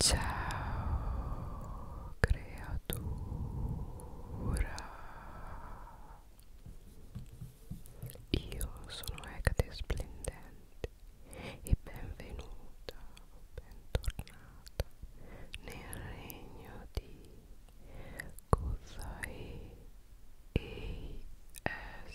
Ciao creatura Io sono Ecate Splendente e benvenuta, bentornata nel regno di Kozai ASMR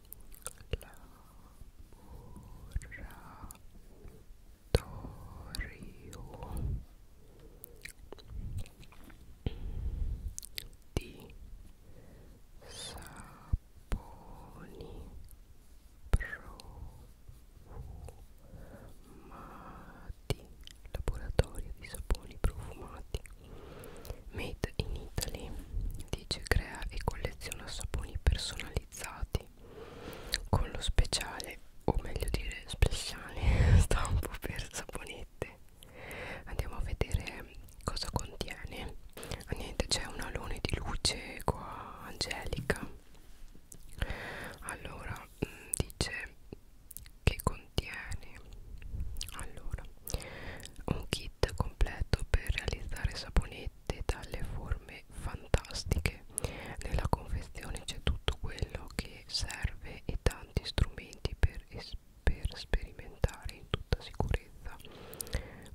laboratorio di saponi profumati laboratorio di saponi profumati Made in Italy dice crea e colleziona saponi personalizzati con lo speciale o meglio dire speciale stampo per saponette andiamo a vedere cosa contiene ah, niente c'è un alone di luce qua angelica allora mm, dice che contiene allora un kit completo per realizzare saponette ricette dalle forme fantastiche nella confezione c'è tutto quello che serve e tanti strumenti per, per sperimentare in tutta sicurezza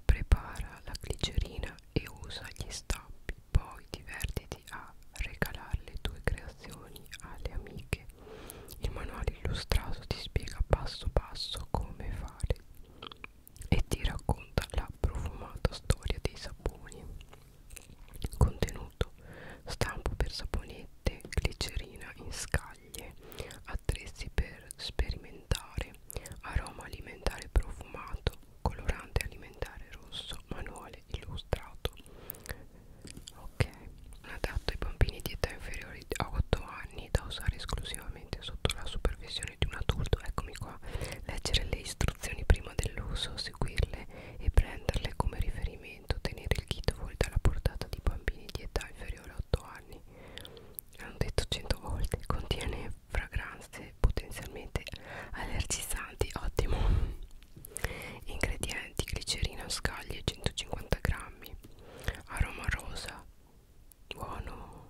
prepara la glicerina e usa gli stampi poi divertiti a regalare le tue creazioni alle amiche il manuale illustrato ti spiega passo passo come fare e ti racconta la profumata storia dei saponi. Contenuto: stampo per saponette, glicerina in scaglie, attrezzi per sperimentare, aroma alimentare profumato, colorante alimentare rosso, manuale illustrato. Ok, un adatto ai bambini di età inferiore a 8 anni da usare esclusivamente esclusivamente sotto la supervisione di un adulto, eccomi qua, leggere le istruzioni prima dell'uso, seguirle e prenderle come riferimento, tenere il kit fuori dalla portata di bambini di età inferiore a 8 anni, hanno detto 100 volte, contiene fragranze potenzialmente allergizzanti, ottimo, ingredienti, glicerina, scaglie 150 grammi, aroma rosa, buono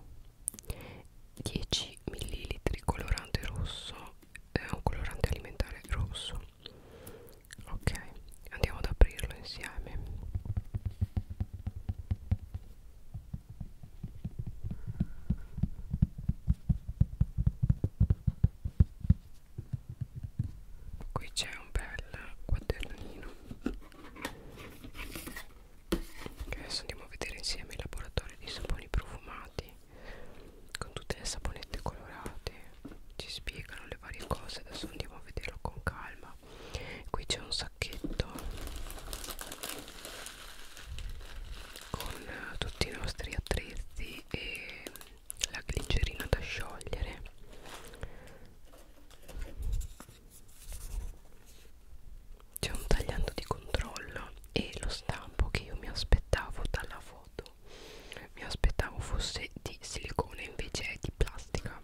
10 ml colorante rosso è eh, un colorante alimentare rosso ok andiamo ad aprirlo insieme qui c'è un bel quadernino che adesso andiamo a vedere insieme il laboratorio di saponi profumati con tutte le saponette colorate ci spiegano le varie cose adesso andiamo a vederlo con calma qui c'è un sacchetto con eh, tutti i nostri attrezzi e la glicerina da sciogliere c'è un tagliando di controllo e lo stampo che io mi aspettavo dalla foto mi aspettavo fosse di silicone invece è di plastica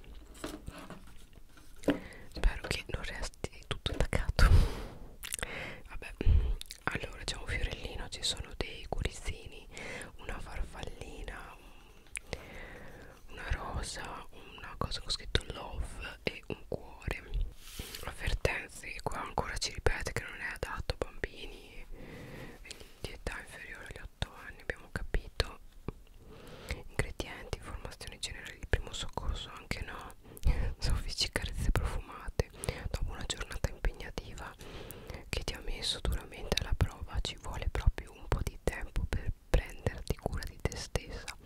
spero che non resti tutto attaccato vabbè allora c'è un fiorellino ci sono dei curizzini una farfallina una rosa una cosa con scritto love e e un cuore avvertenze qua ancora ci ripete che non è adatto a bambini di età inferiore agli 8 anni abbiamo capito ingredienti informazioni generali di primo soccorso anche no soffici carezze profumate dopo una giornata impegnativa che ti ha messo duramente alla prova ci vuole proprio un po' di tempo per prenderti cura di te stessa.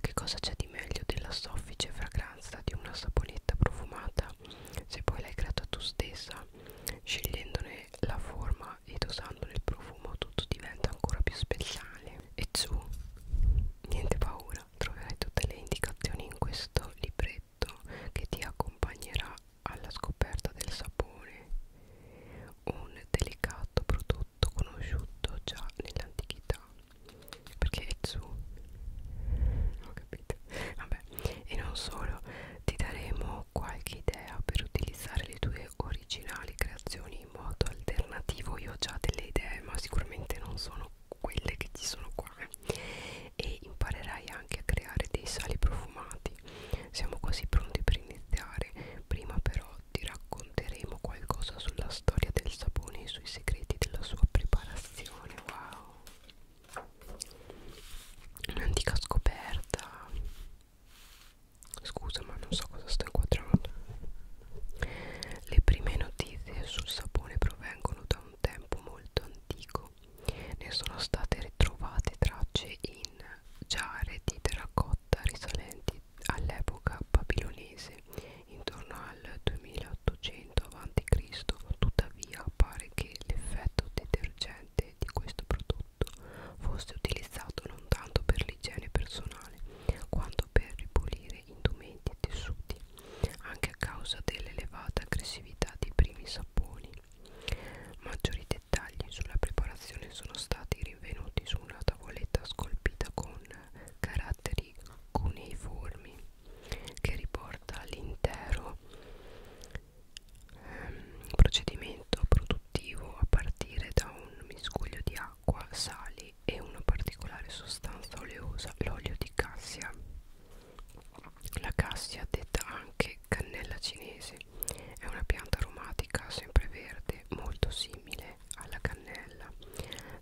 Che cosa c'è di meglio della soffice fragranza di una saponetta profumata se poi l'hai creata tu stessa? Scegliendone la forma ed usandone il profumo tutto diventa ancora più speciale. E su, niente paura, troverai tutte le indicazioni in questo libretto che ti accompagnerà alla scoperta del sapone. Un delicato prodotto prodotto conosciuto già nell'antichità perché è su ho capito vabbè e non solo ti daremo qualche idea per utilizzare le tue originali creazioni in modo alternativo io ho già delle idee ma sicuramente non sono quelle che ci sono qua e imparerai anche a creare dei sali profumati siamo quasi pronti per iniziare prima però Oggi racconteremo qualcosa sulla storia del sapone e sui segreti della sua preparazione. Wow! Un'antica scoperta. Scusa, ma non so cosa sto inquadrando. Le prime notizie sul sapone provengono da un tempo molto antico. Ne sono state ritrovate tracce in giare di terracotta grotta risalenti all'epoca babilonese intorno al 2800 a.C. Tuttavia pare che l'effetto detergente di questo prodotto fosse utilizzato non tanto per l'igiene personale quanto per ripulire indumenti e tessuti, anche a causa dell'elevata aggressività dei primi saponi. Maggiori dettagli sulla preparazione sono stati rinvenuti su una tavoletta scolpita con caratteri cuneiformi che riporta all'intero ehm, procedimento produttivo a partire da un miscuglio di acqua, sali e una particolare sostanza oleosa, l'olio di cassia. La cassia, detta anche cannella cinese, è una pianta aromatica sempreverde molto simile caffè alla cannella.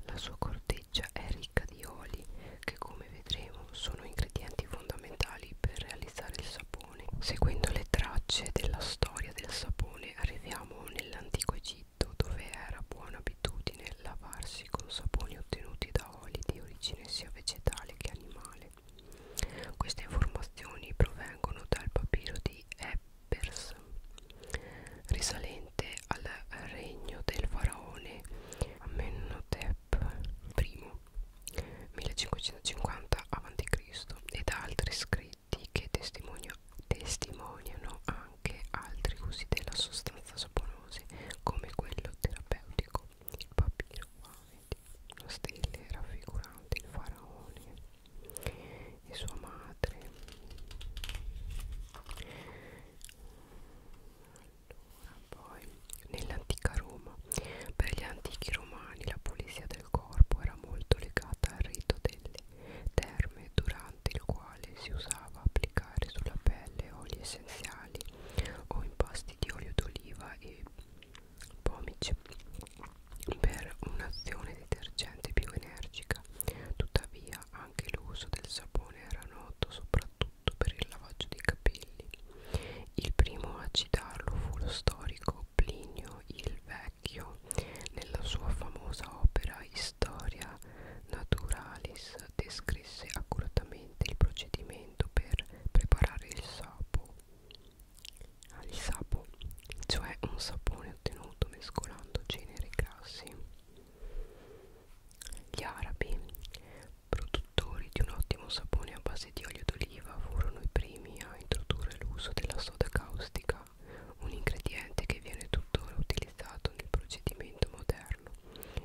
La sua corteccia è ricca di oli che come vedremo sono ingredienti fondamentali per realizzare il sapone. Seguendo le tracce della storia del sapone arriviamo nell'antico Egitto dove era buona abitudine lavarsi con saponi ottenuti da oli di origine sia vegetale che animale. Queste informazioni provengono dal papiro di Epp Pers risalente al regno del faraone Amenhotep I 1550 a.C. e da altri scritti che testimoniano anche altri usi della sostanza saponose come quello terapeutico il papiro una stele raffigurante il faraone e sua madre allora poi nell'antica Roma per gli antichi romani la pulizia del corpo era molto legata al rito delle terme durante il quale si usava applicare sulla pelle oli essenziali o impasti di olio d'oliva e pomice per un'azione detergente più energica tuttavia anche l'uso del sapone era noto soprattutto per il lavaggio dei capelli il primo a citarlo fu lo storico Plinio il Vecchio nella sua famosa opera Historia Naturalis descrisse accuratamente il procedimento per preparare il sapo il sapo, cioè un sapone è ottenuto mescolando generi grassi. Gli arabi, produttori di un ottimo sapone a base di olio d'oliva, furono i primi a introdurre l'uso della soda caustica, un ingrediente che viene tuttora utilizzato nel procedimento moderno.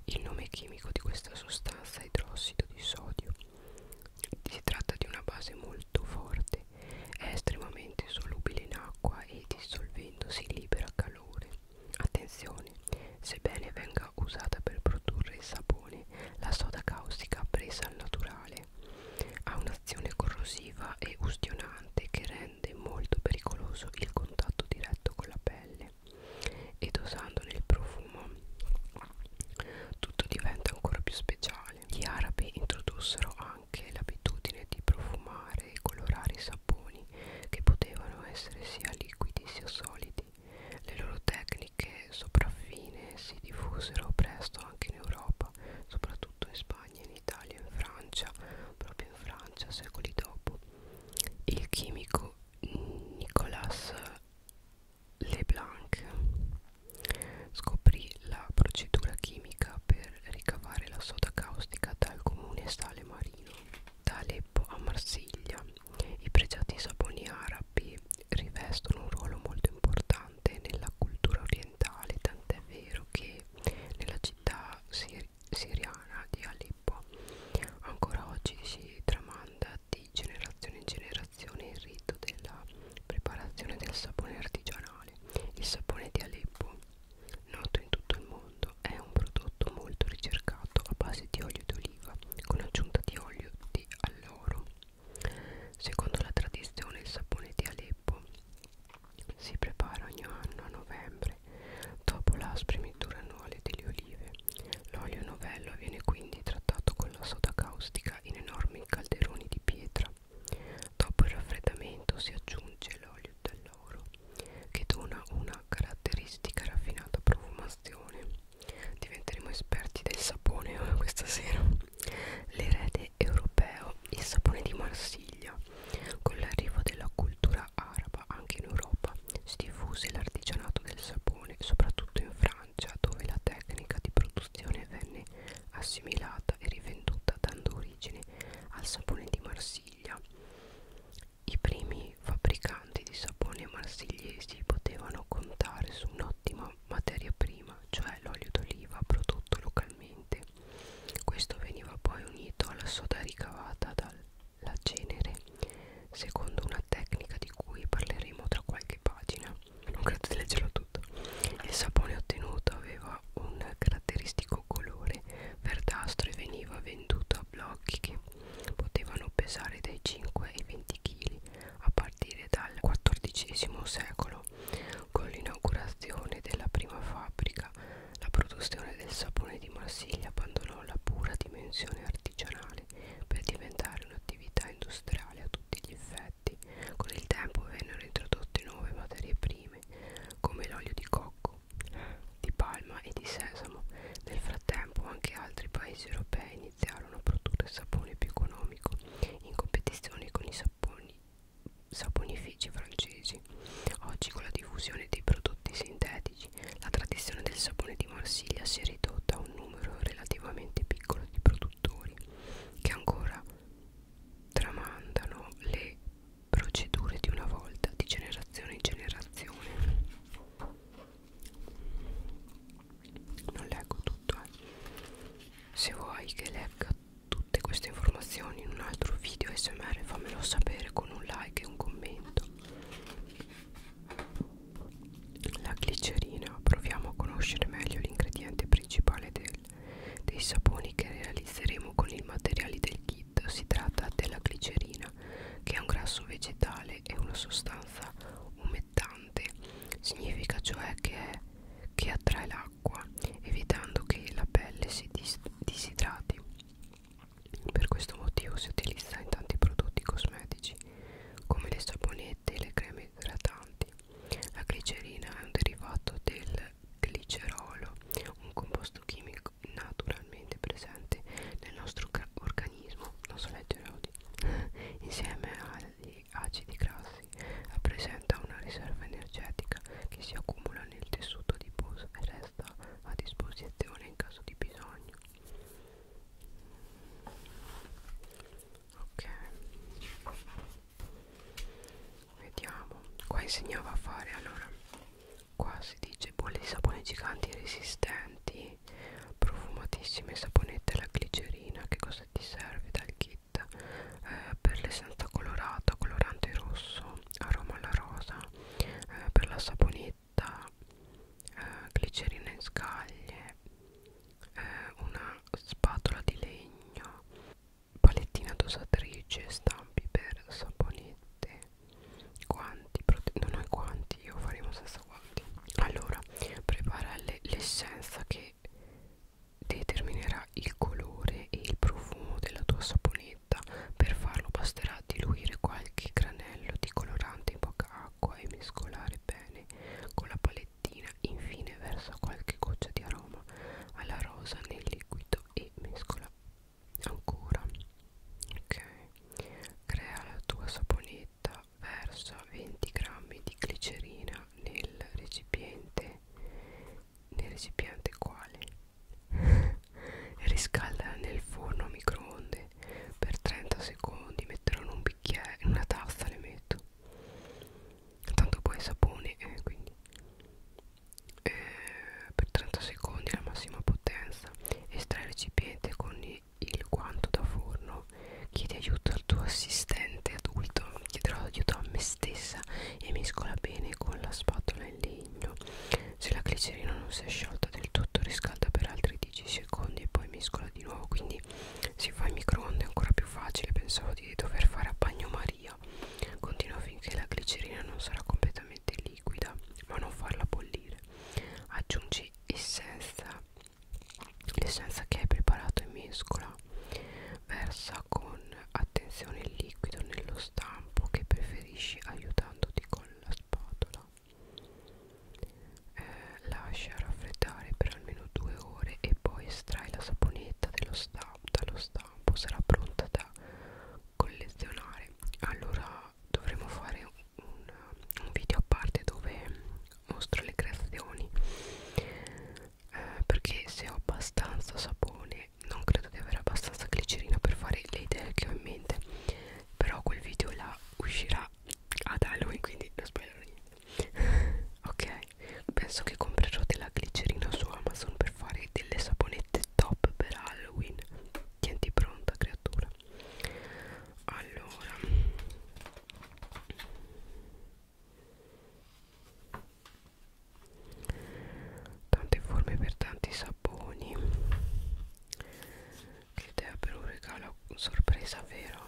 Il nome chimico di questa sostanza è idrossido di sodio. Si tratta di una base molto forte pesante è estremamente solubile in acqua e dissolvendosi libera calore attenzione sebbene venga usata per produrre il sapone la soda caustica presa al naturale ha un'azione corrosiva e ustionante che rende molto pericoloso il contatto diretto con la pelle ed osandone il profumo tutto diventa ancora più speciale gli arabi introdussero anche l'abitudine di profumare e colorare i saponi che potevano essere sia liquidi sia solidi. Le loro tecniche sopraffine si diffusero presto anche in Europa, soprattutto in Spagna, in Italia, in Francia, proprio in Francia secoli dopo. Il chimico Nicolas Leblanc scoprì la procedura chimica per ricavare la soda caustica dal comune sale marino. Da Aleppo a Marsiglia i pregiati saponi arabi rivestono un ruolo molto importante nella cultura orientale, tant'è vero che nella città sir siriana di Aleppo ancora oggi si tramanda di generazione in generazione il rito della preparazione del sapone artigianale. Il sapone di Aleppo noto in tutto il mondo, è un prodotto molto ricercato a base di olio d'oliva con aggiunta di olio di alloro. Secondo la tradizione il sapone di Aleppo si prepara ogni anno a novembre dopo la spremitura annuale delle olive. L'olio novello viene quindi trattato con la soda caustica in enormi calderoni di pietra Dopo il raffreddamento si aggiunge l'olio dell'oro che dona una caratteristica raffinata profumazione. Diventeremo esperti del sapone eh, questa sera. L'erede europeo, il sapone di Marsiglia. Con l'arrivo della cultura araba anche in Europa si diffuse l'artigianato del sapone, soprattutto in Francia, dove la tecnica di produzione venne assimilata e rivenduta dando origine al sapone di Marsiglia. I primi fabbricanti di sapone marsigliesi potevano contare su un'ottima materia prima, cioè l'olio d'oliva prodotto localmente. Questo veniva poi unito alla soda ricavata dalla cenere, secondo una tecnica di cui parleremo tra qualche pagina. Non credo di leggerlo tutto il sapone ottenuto aveva un caratteristico colore verdastro e veniva venduto a blocchi che potevano pesare dai 5 ai 20 kg a partire dal XIV secolo con l'inaugurazione della prima fabbrica la produzione del sapone di Marsiglia abbandonò la pura dimensione artigianale per diventare un'attività industriale a tutti gli effetti. Con il tempo vennero introdotte nuove materie prime prime come l'olio di cocco, di palma e di sesamo. Nel frattempo anche altri paesi europei iniziarono a produrre sapone più economico in competizione con i saponi, saponifici francesi. Oggi con la diffusione dei prodotti sintetici la tradizione del sapone di Marsiglia si è ridotta a un numero relativamente piccolo di produttori che ancora tramandano le procedure di una volta di generazione in generazione non leggo tutto eh. se vuoi che legga tutte queste informazioni in un altro video smr fammelo sapere con un like e un commento la glicerina proviamo a conoscere meglio l'ingrediente principale del dei saponi che realizzeremo con i materiali del kit si tratta della glicerina che è un grasso vegetale e una sostanza umettante significa cioè che, è, che attrae l'acqua evitando che la pelle si dis disidrati per questo motivo si utilizza in tanti prodotti cosmetici come le saponette e le creme idratanti la glicerina è un derivato del glicerolo, un composto chimico naturalmente presente nel nostro organismo, non so leggere oggi, insieme agli acidi grassi, rappresenta una riserva energetica che si accumula nel tessuto adiposo e resta a disposizione in caso di bisogno. Ok vediamo qua insegnava a fare allora qua si dice bolle di sapone giganti resistenti profumatissime saponette alla glicerina che cosa ti serve dal kit eh, per l'essenza colorata colorante rosso aroma alla rosa eh, per la saponetta eh, glicerina in scaglie eh, una spatola di legno palettina dosatrice, stampi per saponette, guanti, non ho i guanti, io faremo senza guanti. Allora, prepara l'essenza che determinerà il colore e il profumo della tua saponetta. Per farlo basterà diluire qualche granello di colorante in poca acqua e mescolare bene con la palettina. Infine versa qualche goccia di aroma alla rosa nel liquido e mescola ancora ok crea la tua saponetta versa 20 g di glicerina nel recipiente nel recipiente quale riscaldala nel forno a microonde per 30 secondi metterò in un bicchiere in una tazza le metto tanto poi sapone eh, quindi eh, per 30 secondi alla massima potenza estrai il recipiente con il guanto da forno chiedi aiuto al tuo assistente adulto chiederò aiuto a me stessa e mescola bene con la spatola in legno se la glicerina non si è sciolta del tutto riscalda per altri 10 secondi e poi mescola di nuovo quindi si fa in microonde è ancora più facile pensavo di dover fare a bagnomaria via continua finché la glicerina non sarà completamente liquida ma non farla bollire aggiungi essenza l'essenza che hai preparato e mescola versa con attenzione il liquido nello stampo che preferisci aiutandoti con la spatola eh, lascia raffreddare per almeno due ore e poi estrai la saponetta dello stampo dallo stampo shampoo sarà pronta da collezionare allora dovremo fare un, un video a parte dove mostro le creazioni eh, perché se ho abbastanza sapone non credo di avere abbastanza glicerina per fare le idee che ho in mente però quel video là uscirà ad Halloween quindi non spoilerò niente ok penso che comprerò della glicerina su Amazon per fare delle saponette top per Halloween tienti pronta creatura allora tante forme per tanti saponi che idea per un regalo sorpresa vero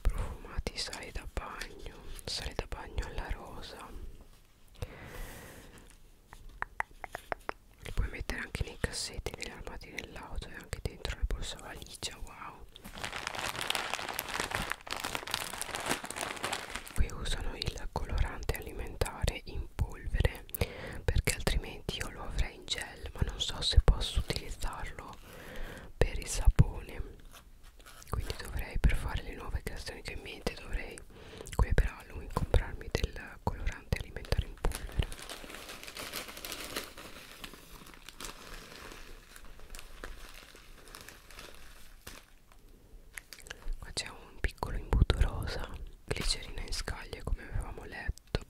profumati sai da bagno sale da bagno alla rosa li puoi mettere anche nei cassetti negli armadi dell'auto e anche dentro le borsa valigia wow qui usano il colorante alimentare in polvere perché altrimenti io lo avrei in gel ma non so se posso utilizzarlo per il sapone quindi dovrei per fare le nuove creazioni che ho in mente dovrei quelle per Halloween comprarmi del colorante alimentare in polvere qua c'è un piccolo imbuto rosa glicerina in scaglie come avevamo letto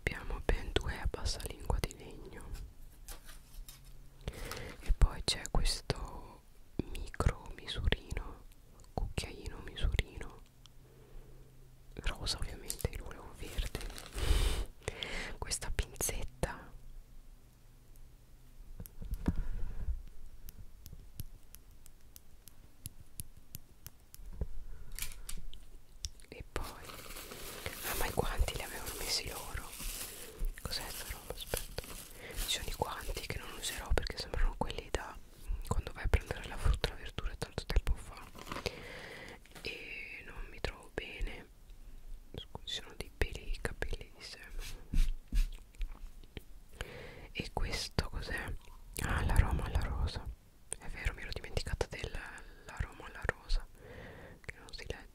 abbiamo ben due a bassa lingua di legno e poi c'è questo micro misurino cucchiaino misurino rosa ovviamente io volevo verde questa pinzetta e poi ah ma i guanti li avevano messi loro cos'è sta roba aspetta ci sono i guanti che non userò perché sembrano quelli da quando vai a prendere la frutta e la verdura tanto tempo fa e non mi trovo bene Scusi, sono dei peli i capelli di seme e questo cos'è? ah l'aroma alla rosa è vero mi ero dimenticata dell'aroma alla rosa che non si legge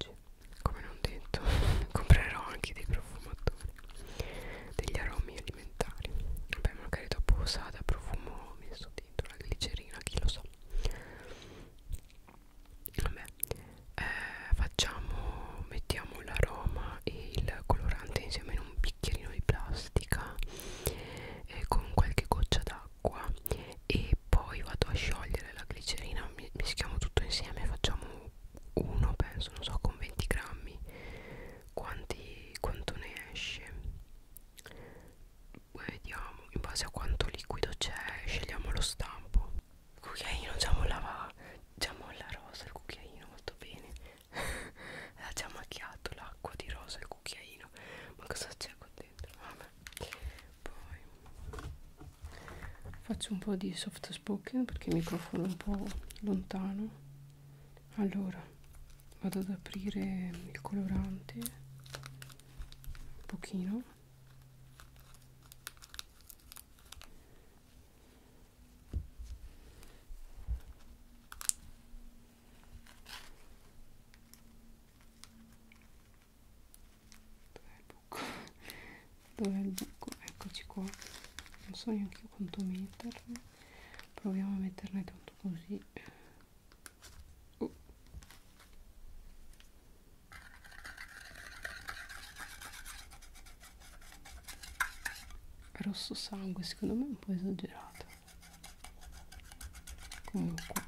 come non detto comprerò anche dei profumatori degli aromi alimentari vabbè magari dopo usata profumo messo dentro la glicerina chi lo sa vabbè eh, facciamo mettiamo l'aroma e il colorante insieme in un bicchierino di plastica eh, con qualche goccia d'acqua e poi vado a sciogliere la glicerina mischiamo tutto insieme e facciamo uno penso non so con 20 grammi quanti, quanto ne esce vediamo in base a quanto liquido c'è scegliamo lo stampo il cucchiaino già mollava diciamo, già molla diciamo, rosa il cucchiaino molto bene ha già macchiato l'acqua di rosa il cucchiaino ma cosa c'è qua dentro vabbè poi faccio un po' di soft spoken perché il microfono è un po' lontano allora vado ad aprire il colorante un pochino buco dov'è il buco? eccoci qua non so neanche quanto metterne proviamo a metterne tanto così oh. rosso sangue secondo me è un po' esagerato comunque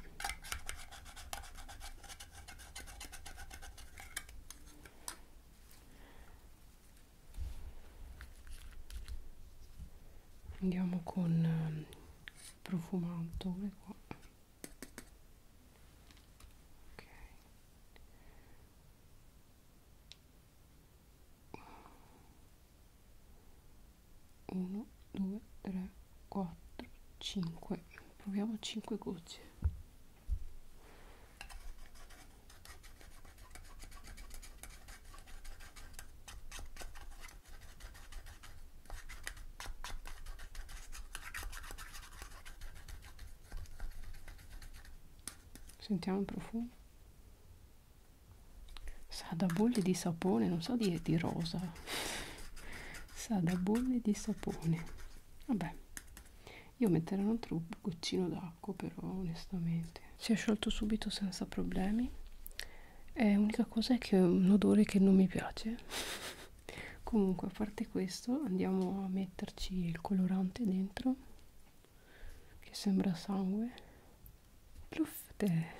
andiamo con ehm, profumato qua ok 1 2 3 4 5 proviamo 5 gocce Sentiamo il profumo. Sa da bolle di sapone, non so dire di rosa. Sa da bolle di sapone. Vabbè. Io metterò un altro goccino d'acqua, però onestamente si è sciolto subito senza problemi. L'unica cosa è che è un odore che non mi piace. Comunque, a parte questo, andiamo a metterci il colorante dentro, che sembra sangue. Pluff, è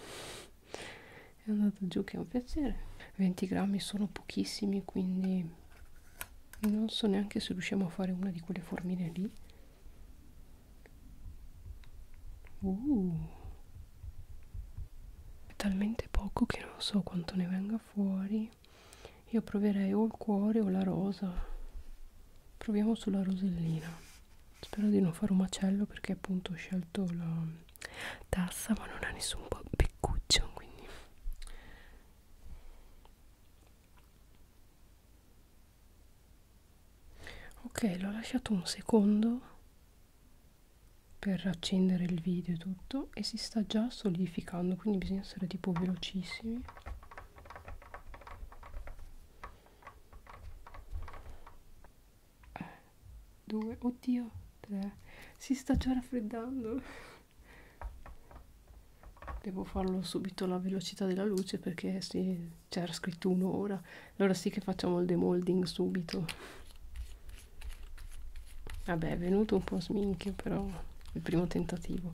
andato giù che è un piacere. 20 grammi sono pochissimi, quindi non so neanche se riusciamo a fare una di quelle formine lì uh, è talmente poco che non so quanto ne venga fuori io proverei o il cuore o la rosa proviamo sulla rosellina spero di non fare un macello perché appunto ho scelto la tassa ma non ha nessun po' beccuccio quindi ok l'ho lasciato un secondo per accendere il video e tutto e si sta già solidificando quindi bisogna essere tipo velocissimi eh, due oddio tre si sta già raffreddando devo farlo subito alla velocità della luce perché sì, c'era scritto un'ora allora sì che facciamo il demolding subito vabbè è venuto un po' sminchio però il primo tentativo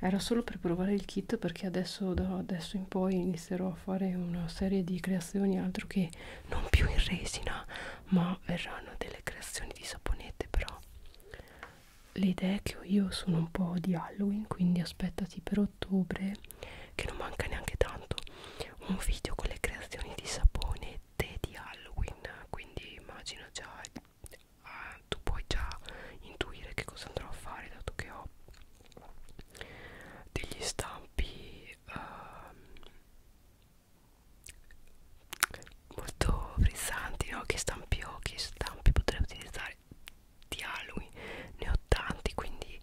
era solo per provare il kit perché adesso da adesso in poi inizierò a fare una serie di creazioni altro che non più in resina ma verranno delle creazioni di saponette però le idee che ho io sono un po' di Halloween, quindi aspettati per ottobre, che non manca neanche tanto, un video con le creazioni di saponette di Halloween, quindi immagino già, eh, tu puoi già intuire che cosa andrò a fare, dato che ho degli stampi... Eh, molto frizzanti no? che stampi ho oh, che stampi potrei utilizzare di Halloween ne ho tanti quindi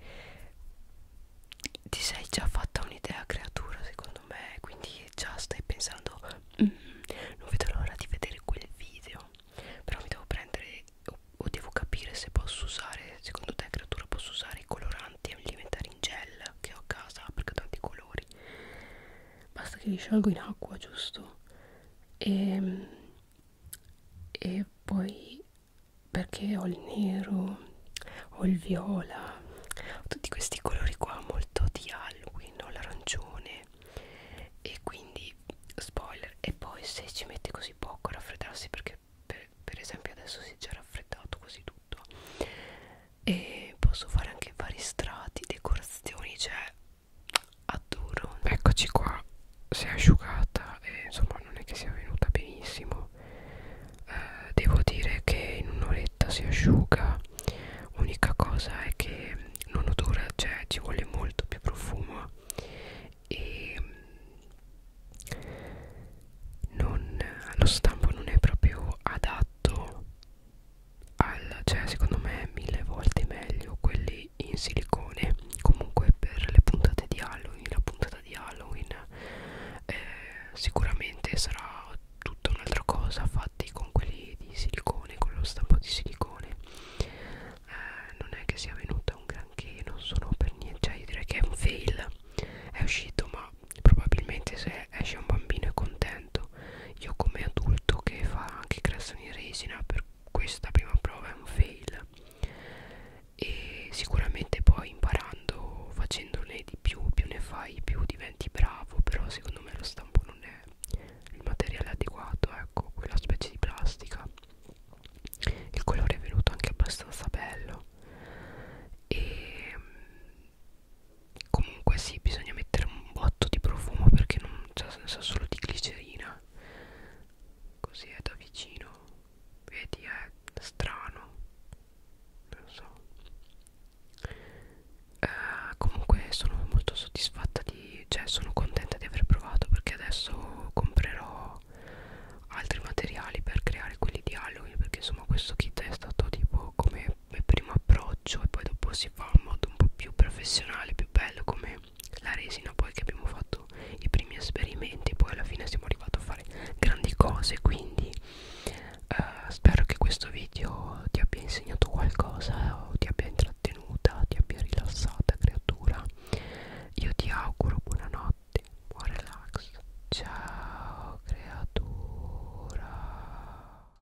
ti sei già fatta un'idea creatura secondo me quindi già stai pensando mm, non vedo l'ora di vedere quel video però mi devo prendere o, o devo capire se posso usare secondo te creatura posso usare i coloranti alimentari in gel che ho a casa perché ho tanti colori basta che li sciolgo in acqua giusto e, ehm, e poi perché ho il nero ho il viola ho tutti questi colori qua molto di Halloween ho l'arancione e quindi spoiler e poi se ci mette così poco a raffreddarsi perché per, per esempio adesso si è già raffreddato così tutto e posso fare anche vari strati, decorazioni, cioè adoro. Eccoci qua, si è asciugata e insomma non è che sia venuta benissimo. Eh, devo dire che in un'oretta si asciuga, unica cosa è che non odora, cioè ci vuole molto più profumo e non, lo stampo non è proprio adatto al, cioè secondo me mille volte meglio quelli in silicone comunque per le puntate di Halloween la puntata di Halloween eh, sicuramente sarà tutta un'altra cosa fatti con quelli di silicone con lo stampo di silicone eh, non è che sia venuta un granché non sono per niente cioè io direi che è un fail è uscito ma probabilmente se esce un bambino è contento buono io come adulto che fa anche creazioni resina per questa prima prova è un fail e sicuramente poi imparando facendone di più più ne fai più diventi bravo però secondo me lo stampo non è il materiale adeguato ecco quella specie di plastica il colore è venuto anche abbastanza bello e comunque sì bisogna mettere un botto di profumo perché non c'è senso solo di glicerina così è da vicino vedi è strano non so eh, comunque sono molto soddisfatta di cioè sono contenta di aver provato perché adesso comprerò altri materiali per creare quelli di Halloween perché insomma questo kit è stato tipo come il primo approccio e poi dopo si fa in modo un po' più professionale, più bello come la resina poi che abbiamo fatto i primi esperimenti poi alla fine siamo arrivati a fare grandi cose quindi eh, spero che questo video ti abbia insegnato qualcosa o ti abbia intrattenuta, ti abbia rilassata creatura io ti auguro buonanotte, buon relax ciao creatura